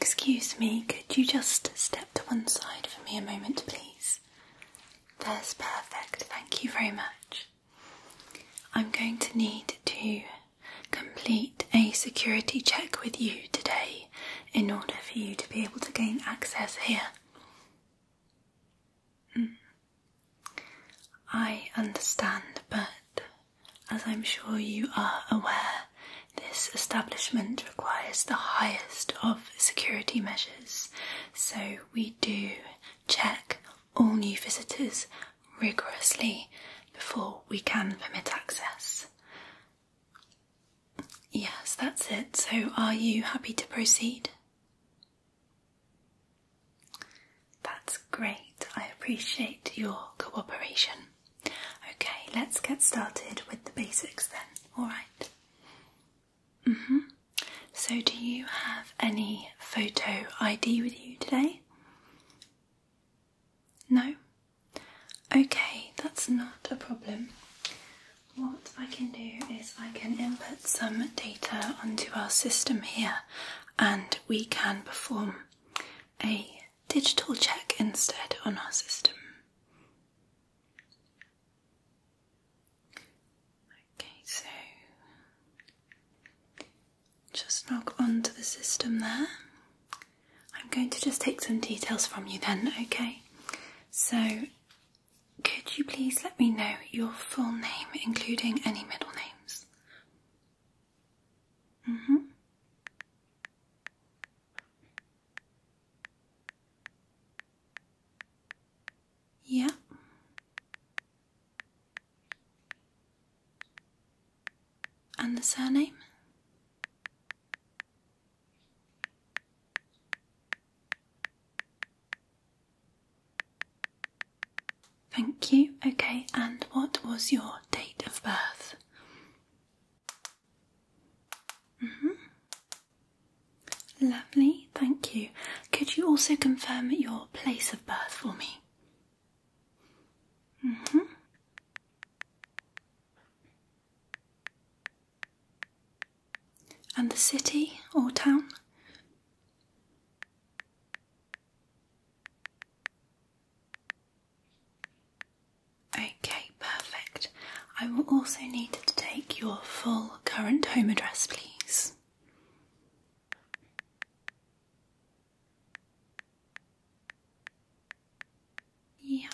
Excuse me, could you just step to one side for me a moment, please? That's perfect, thank you very much. I'm going to need to complete a security check with you today in order for you to be able to gain access here. Hmm. I understand, but as I'm sure you are aware, this establishment requires the highest of security measures, so we do check all new visitors rigorously before we can permit access. Yes, that's it. So, are you happy to proceed? That's great. I appreciate your cooperation. Okay, let's get started with the basics then, alright? hmm. So, do you have any photo ID with you today? No? Okay, that's not a problem. What I can do is I can input some data onto our system here and we can perform a digital check instead on our system. Okay, so just log onto the system there. I'm going to just take some details from you then, okay? So, could you please let me know your full name, including any middle names? Mm-hmm. Yeah. And the surname? Thank you. Okay, and what was your date of birth? Mm-hmm. Lovely, thank you. Could you also confirm your place of birth for me? Mm-hmm. And the city or town? Okay, perfect. I will also need to take your full current home address, please. Yeah.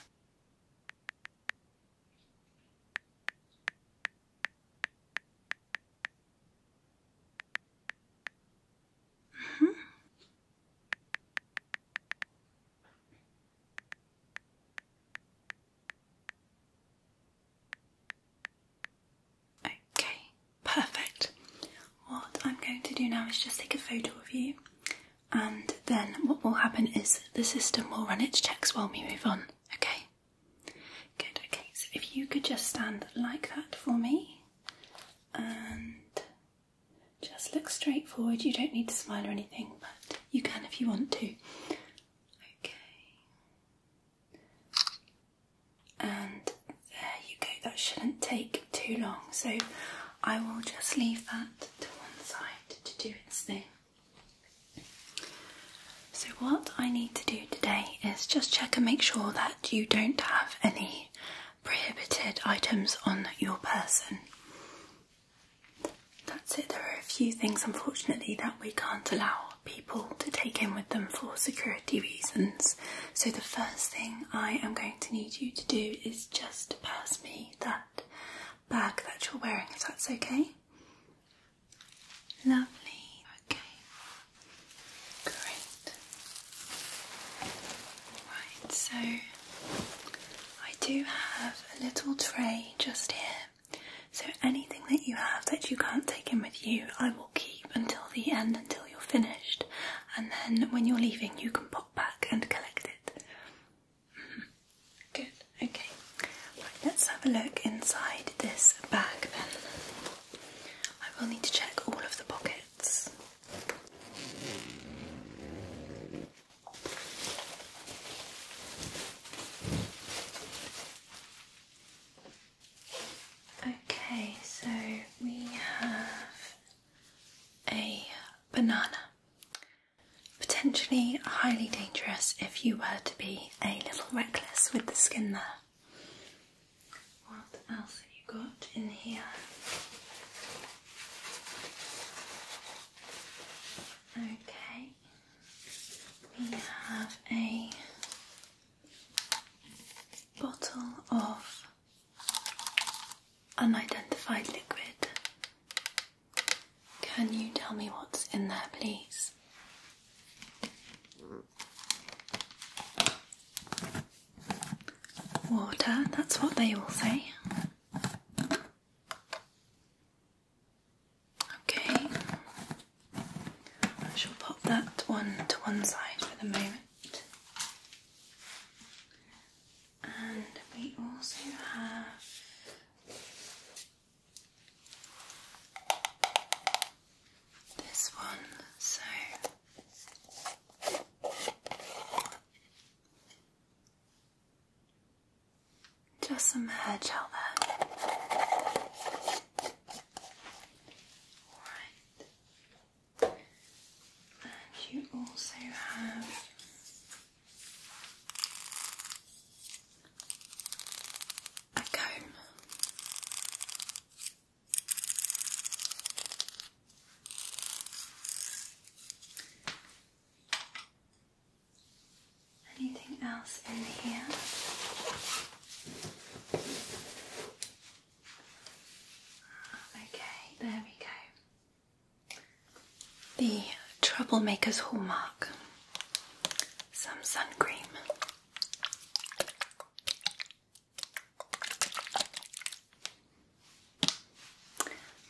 Okay, perfect. What I'm going to do now is just take a photo of you, and then what will happen is the system will run its checks while we move on. Okay, good. Okay, so if you could just stand like that for me, and just look straightforward. You don't need to smile or anything, but you can if you want to. Okay. And there you go. That shouldn't take too long. So I will just leave that to one side to do its thing. So, what I need to do today is just check and make sure that you don't have any prohibited items on your person. That's it. There are a few things, unfortunately, that we can't allow people to take in with them for security reasons. So, the first thing I am going to need you to do is just pass me that bag that you're wearing, if that's okay. Lovely. Okay. Great. Right, so I do have a little tray just here. So anything that you have that you can't take in with you, I will keep until the end, until you're finished, and then when you're leaving, you can pop back and collect it. Mm-hmm. Good, okay. let's have a look inside this bag then. I will need to check all of the pockets. Okay, so we have a banana. Potentially highly dangerous if you were to be a little reckless with the skin there. What else have you got in here? Okay, we have a bottle of unidentified liquid. Can you tell me what's in there, please? water, that's what they all say. Okay, I shall pop that one to one side for the moment. And we also have. This one, so just a hair gel there. And you also have a comb. Anything else in here? Okay, there we go. The Troublemaker's Hallmark. Some sunscreen.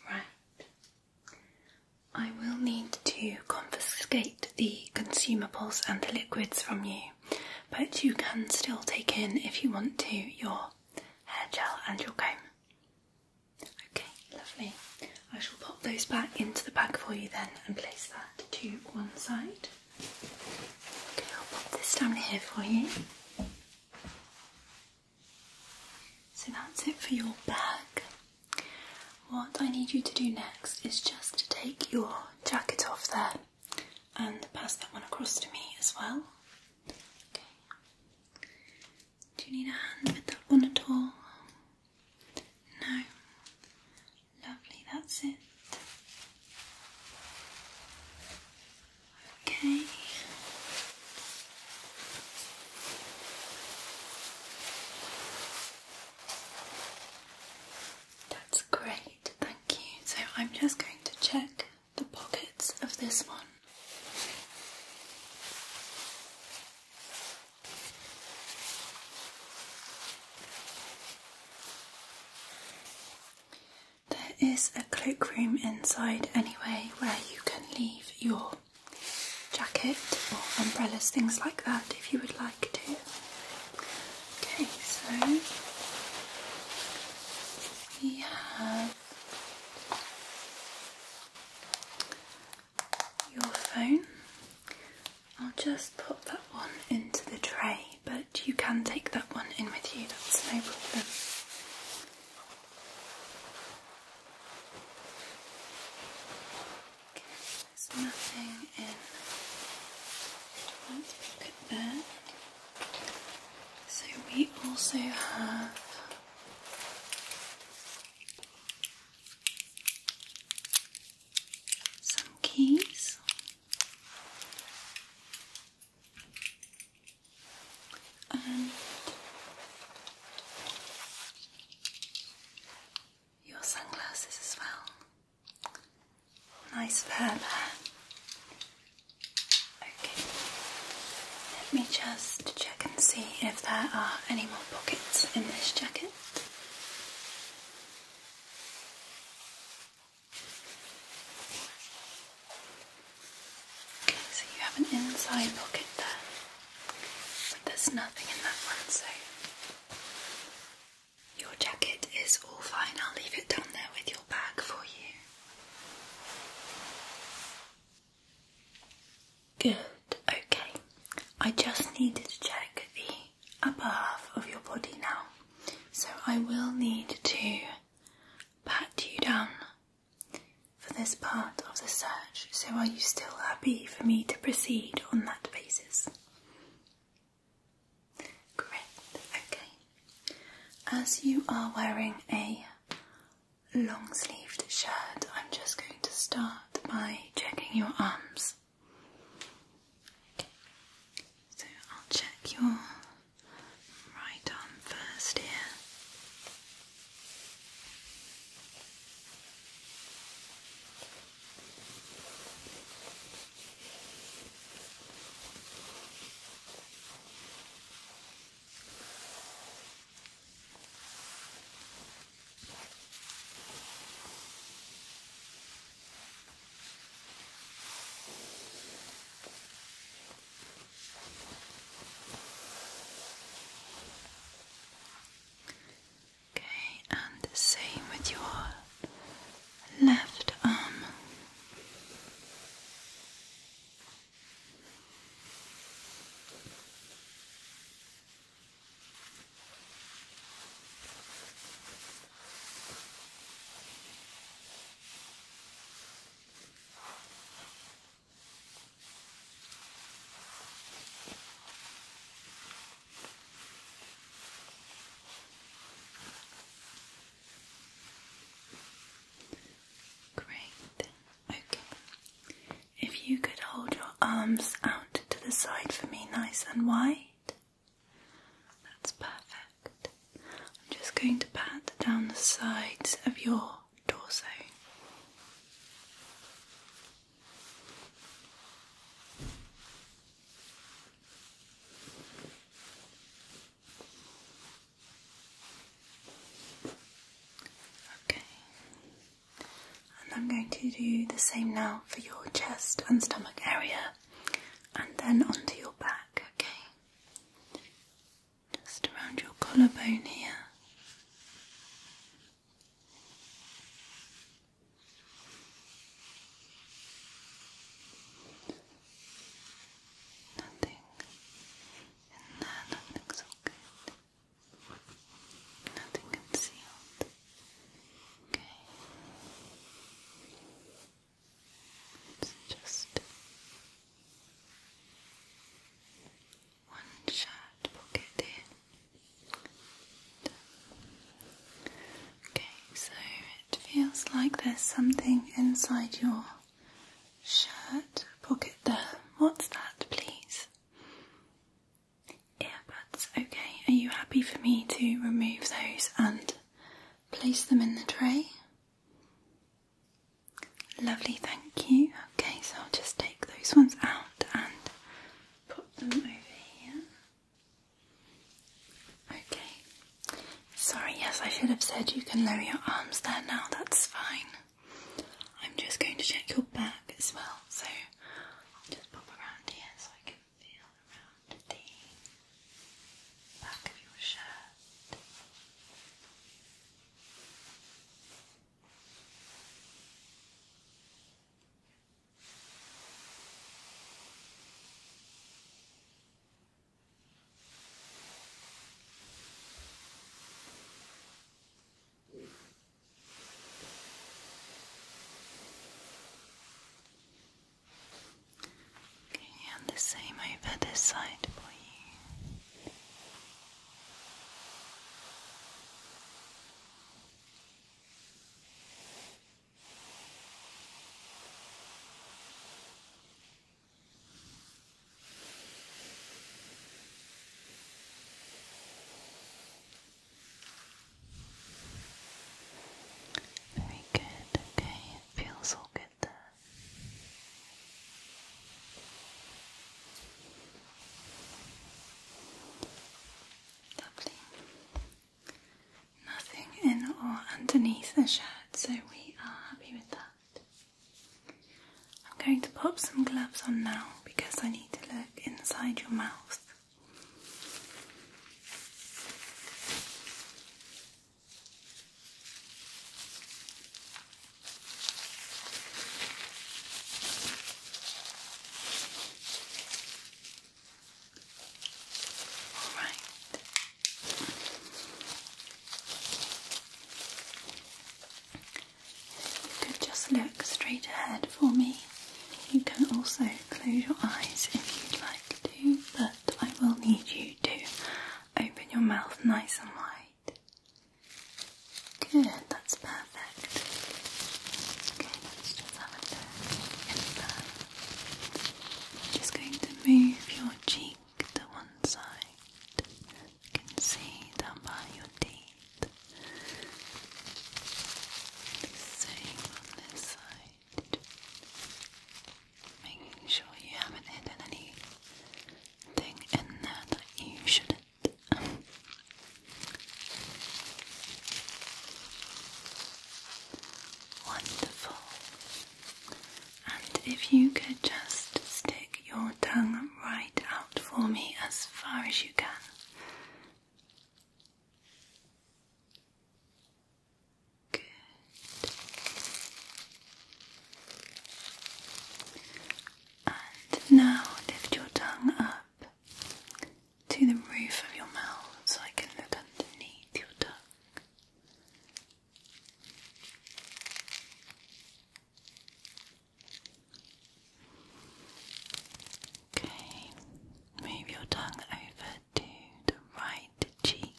Right. I will need to confiscate the consumables and the liquids from you, but you can still take in, if you want to, your hair gel and your comb. Okay, lovely. I shall pop those back into the bag for you then and place that to one side. Okay, I'll pop this down here for you. So that's it for your bag. What I need you to do next is just to take your jacket off there and pass that one across to me as well. Do you need a hand with that one at all? No. Lovely, that's it. Okay. That's great, thank you. So I'm just going to check the pockets of this one. There is a cloakroom inside anyway where you can leave your jacket or umbrellas, things like that, if you would like to. Okay, so we have your phone. I'll just put that one into the tray but you can take that one in with you, that's no problem. there's nothing in So we also have some keys your sunglasses as well. Nice pair Okay, let me just check and see if there are any more pockets in this jacket. Okay, so you have an inside pocket there, but there's nothing in that one, so your jacket is all fine. I'll leave it down there with your bag for you. Good, okay. I just needed to check the upper half of your body now. So I will need to pat you down for this part of the search. So are you still happy for me to proceed on that basis? Great, okay. As you are wearing a long sleeved shirt, I'm just going to start by checking your arms. So I'll check your right arm first here. Okay, and the same with your left arm. Great. Okay. If you could hold your arms out to the side for me, nice and wide. That's perfect. I'm just going to pat down the sides of your torso. Okay. And I'm going to do the same now for your chest and stomach area and then onto your back, okay? Just around your collarbone here. Nothing in there, nothing's all Nothing concealed. Okay. It's just one shot will get Okay, so it feels like there's something inside your shirt pocket there. What's that, please? Earbuds. Okay, are you happy for me to remove those and place them in the tray. Lovely, thank you. Okay, so I'll just take those ones out and put them over here. Okay. Sorry, yes, I should have said you can lower your arms there now, that's fine. I'm just going to check your back as well, so I'll just pop around here so I can can feel around the back of your shirt. Now Okay, and the same over this side please. Very good, okay, it feels all good Nothing in or underneath the shirt, so we are happy with that. I'm going to pop some gloves on now because I need to look inside your mouth. All right. You could just look straight ahead for me. You can also close your eyes if you'd like like to, but I will need you to open your mouth nice and wide. Good, that's perfect. Okay, let's just have a look just going to move your cheek to one side. You see down by your teeth. Same on this side. Making sure you haven't hidden anything in there that you shouldn't. Wonderful. And if you could just stick your tongue right out for me as far as you can. Good. And now lift your tongue up to the roof of your mouth so I can look underneath your tongue. Okay, move your tongue over to the right cheek.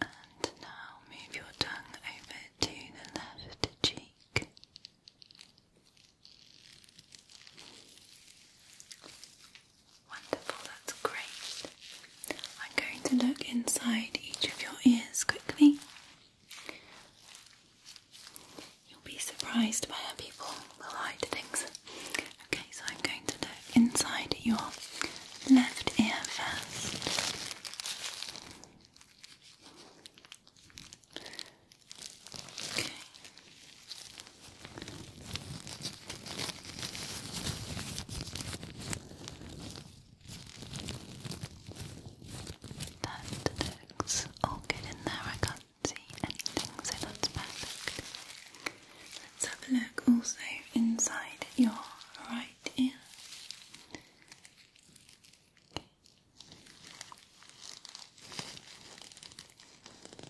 And now move your tongue over to the left cheek. Wonderful, that's great. I'm going to look inside each of your ears quickly You'll be surprised by how people will hide things. Okay, so I'm going to look inside your left ear first. Okay. That looks all good in there. I can't see anything, so that's perfect. Let's have a look also inside your right ear.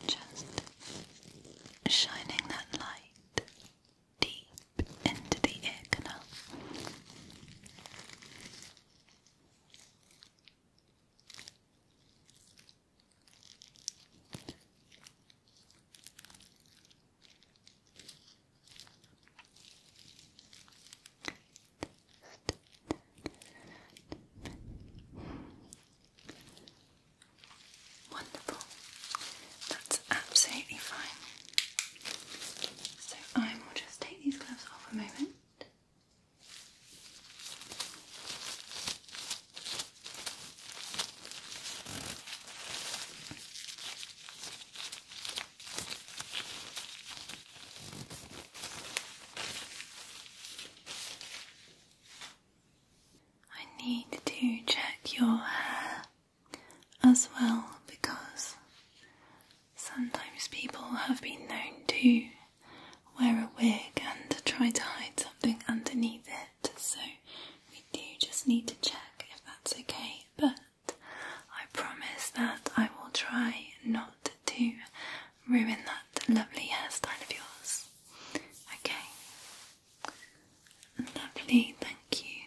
Just shining that light deep into the ear canal. Wonderful. That's absolutely fine. So I will just take these gloves off a moment. I need to check your hair as well because Sometimes people have been known to wear a wig and try to hide something underneath it, so we do just need to check if that's okay. But I promise that I will try not to ruin that lovely hairstyle of yours. Okay. Lovely, thank you.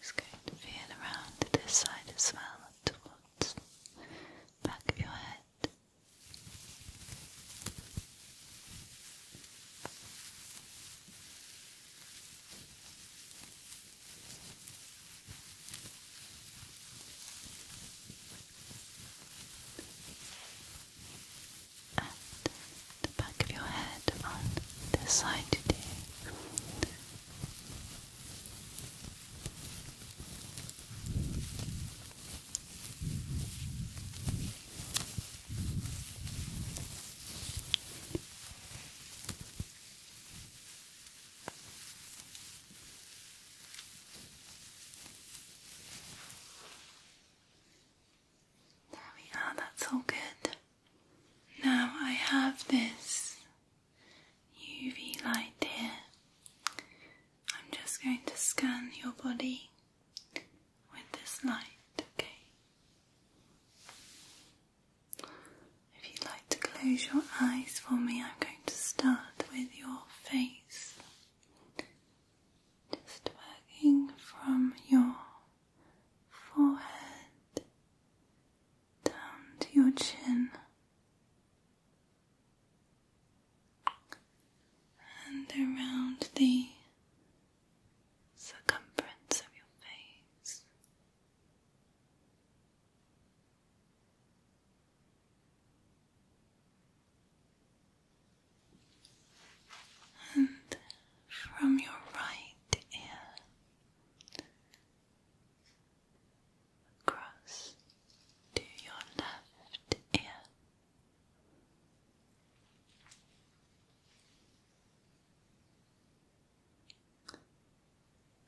Just going to feel around this side as well, towards the back of your head at the back of your head on this side today that's all good. Now I have this UV light here. I'm just going to scan your body with this light, okay? If you'd like to close your eyes for me, I'm going to start with your face. Just working from your forehead down to your chin and around the circumference of your face and from your right ear across to your left ear.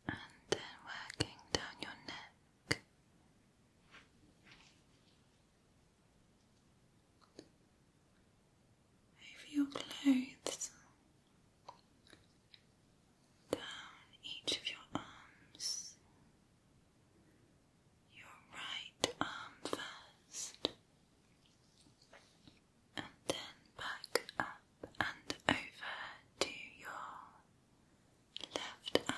And then working down your neck over your clothes, down each of your arms, your right arm first, and then back up and over to your left arm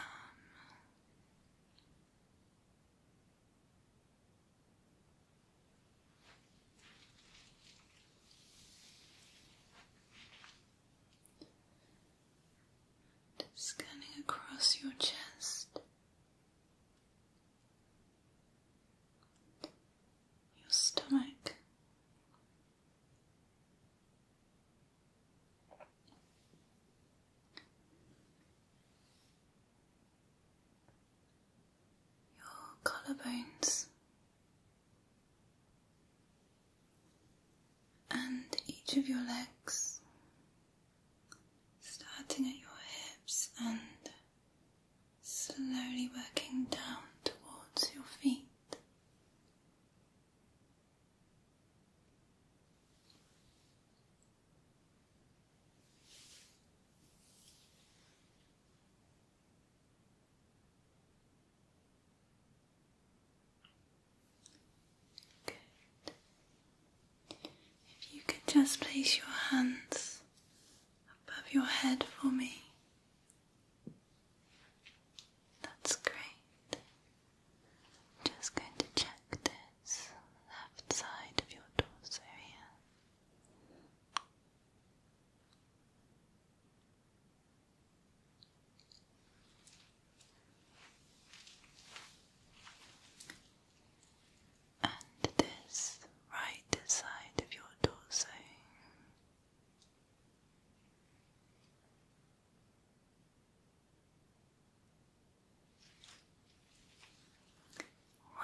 scanning across your chest, your stomach your collarbones and each of your legs, starting at your hips and slowly working down towards your feet. If you could just place your hands above your head for me. That's great. Just going to check this left side of your torso here. And this right side of your torso.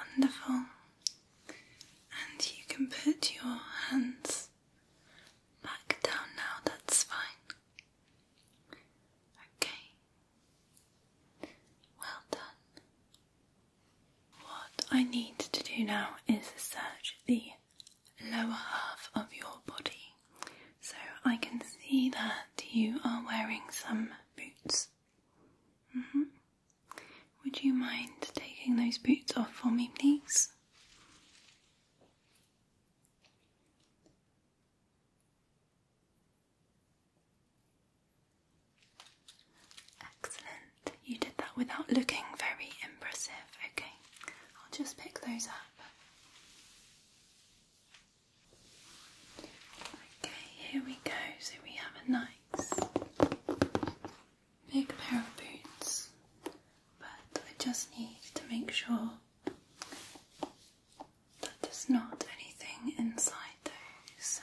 Wonderful. And you can put your hands back down now, that's fine. Okay. Well done. What I need to do now is search the lower half of your body. So I can see that you are wearing some boots. Mm-hmm. Would you mind taking those boots off for me, please? Excellent. You did that without looking very impressive. Okay, I'll just pick those up. Okay, here we go. So we have a nice big pair of boots, but I just need to make sure that there's not anything inside those. So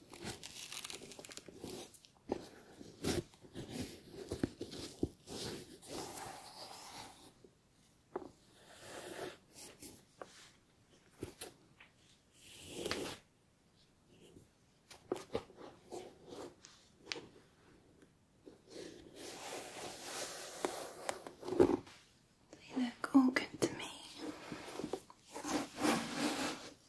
They look all good to me.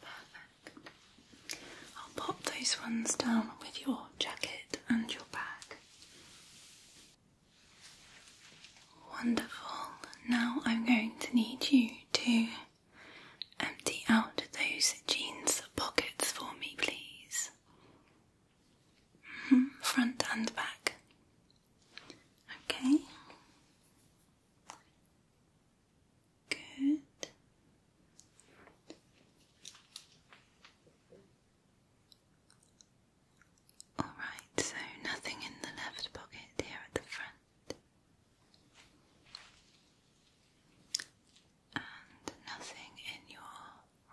Perfect. I'll pop those ones down with your jacket and your bag. Wonderful. Now I'm going to need you to empty out those jeans pockets for me, please. Mm-hmm. Front and back. Okay. Good. All right, so nothing in the left pocket here at the front. And nothing in your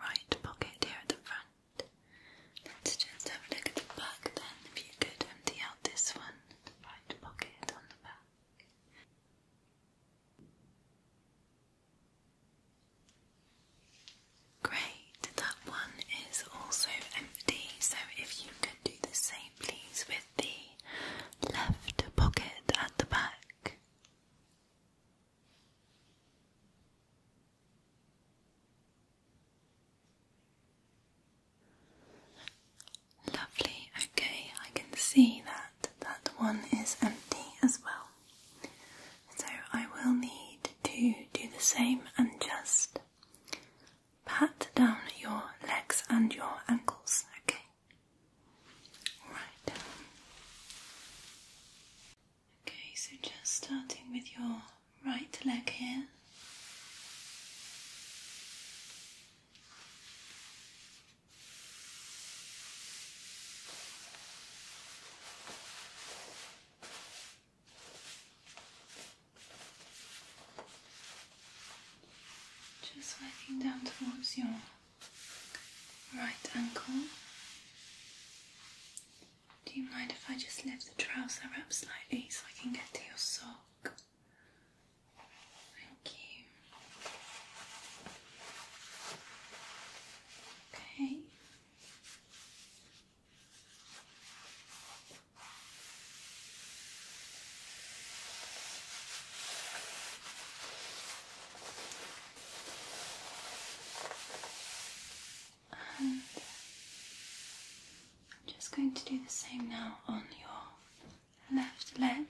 right pocket here at the front. Let's just have a look at the back then. If you could empty out this one, the right pocket on the back. Great, that one is also empty, so if you can do the same please with the left pocket at the back. Lovely, okay, I can see that that one is empty as well. So I will need to do the same and just pat down your legs and your ankles, okay? Right. Okay, so just starting with your right leg here. Just working down towards your right ankle. Do you mind if I just lift the trouser up slightly so I can get to your sock? Thank you. Okay. And I'm just going to do the same now on your left leg.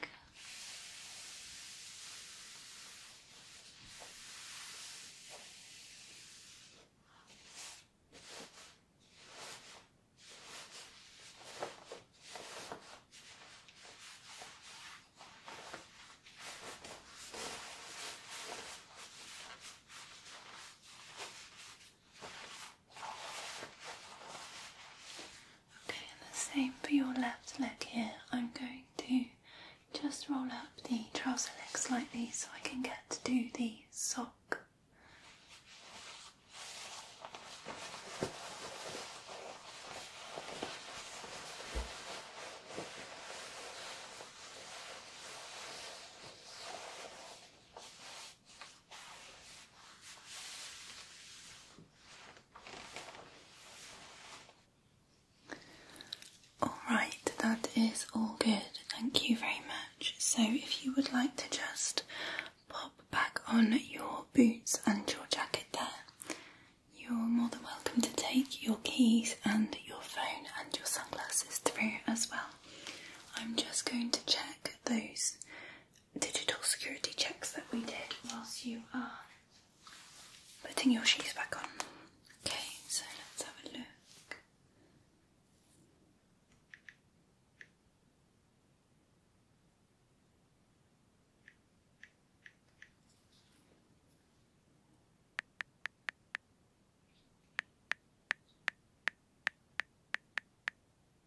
Okay, and the same for your left leg here. I'm going to just roll up the trouser leg slightly so I can get to do the sock. Alright, that is all good. Thank you very much. So, if you would like to just pop back on your boots and your jacket there, you're more than welcome to take your keys and your phone and your sunglasses through as well. I'm just going to check those digital security checks that we did whilst you are putting your shoes back on. Okay, so let's have a look.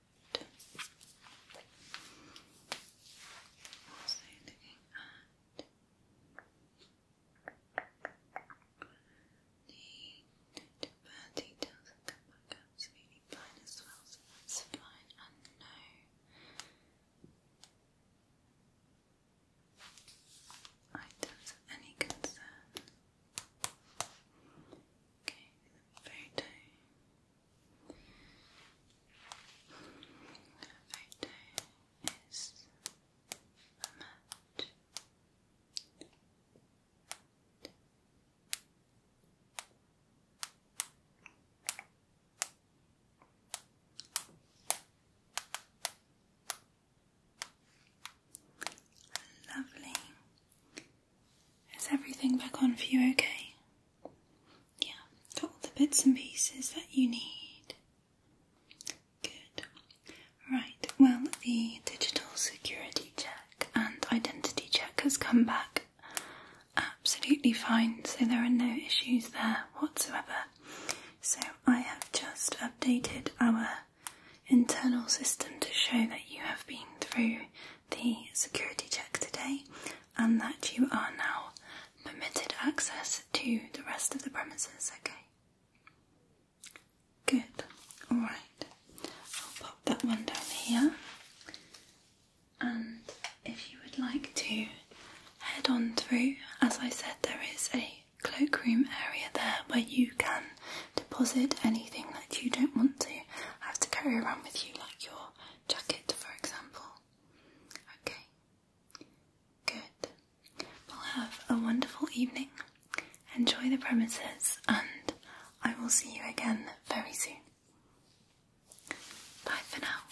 What was I looking at? The birth details have come back up, so And no. I do any concern. Okay, very tight. is a match. Lovely. Is everything back on for you okay? Yeah, got all the bits and pieces that you need. Good. Right, well, the digital security check and identity check has come back absolutely fine, so there are no issues there whatsoever. So I have just updated our internal system to show that you have been through the security check today and that you are now permitted access to the rest of the premises, okay? Good, alright. I'll pop that one down here. And if you would like to head on through, as I said, there is a cloakroom area there where you can deposit anything that you don't want to have to carry around with you, like your jacket, for example. Okay, good. Well, have a wonderful evening. Enjoy the premises, and I will see you again very soon. Bye for now.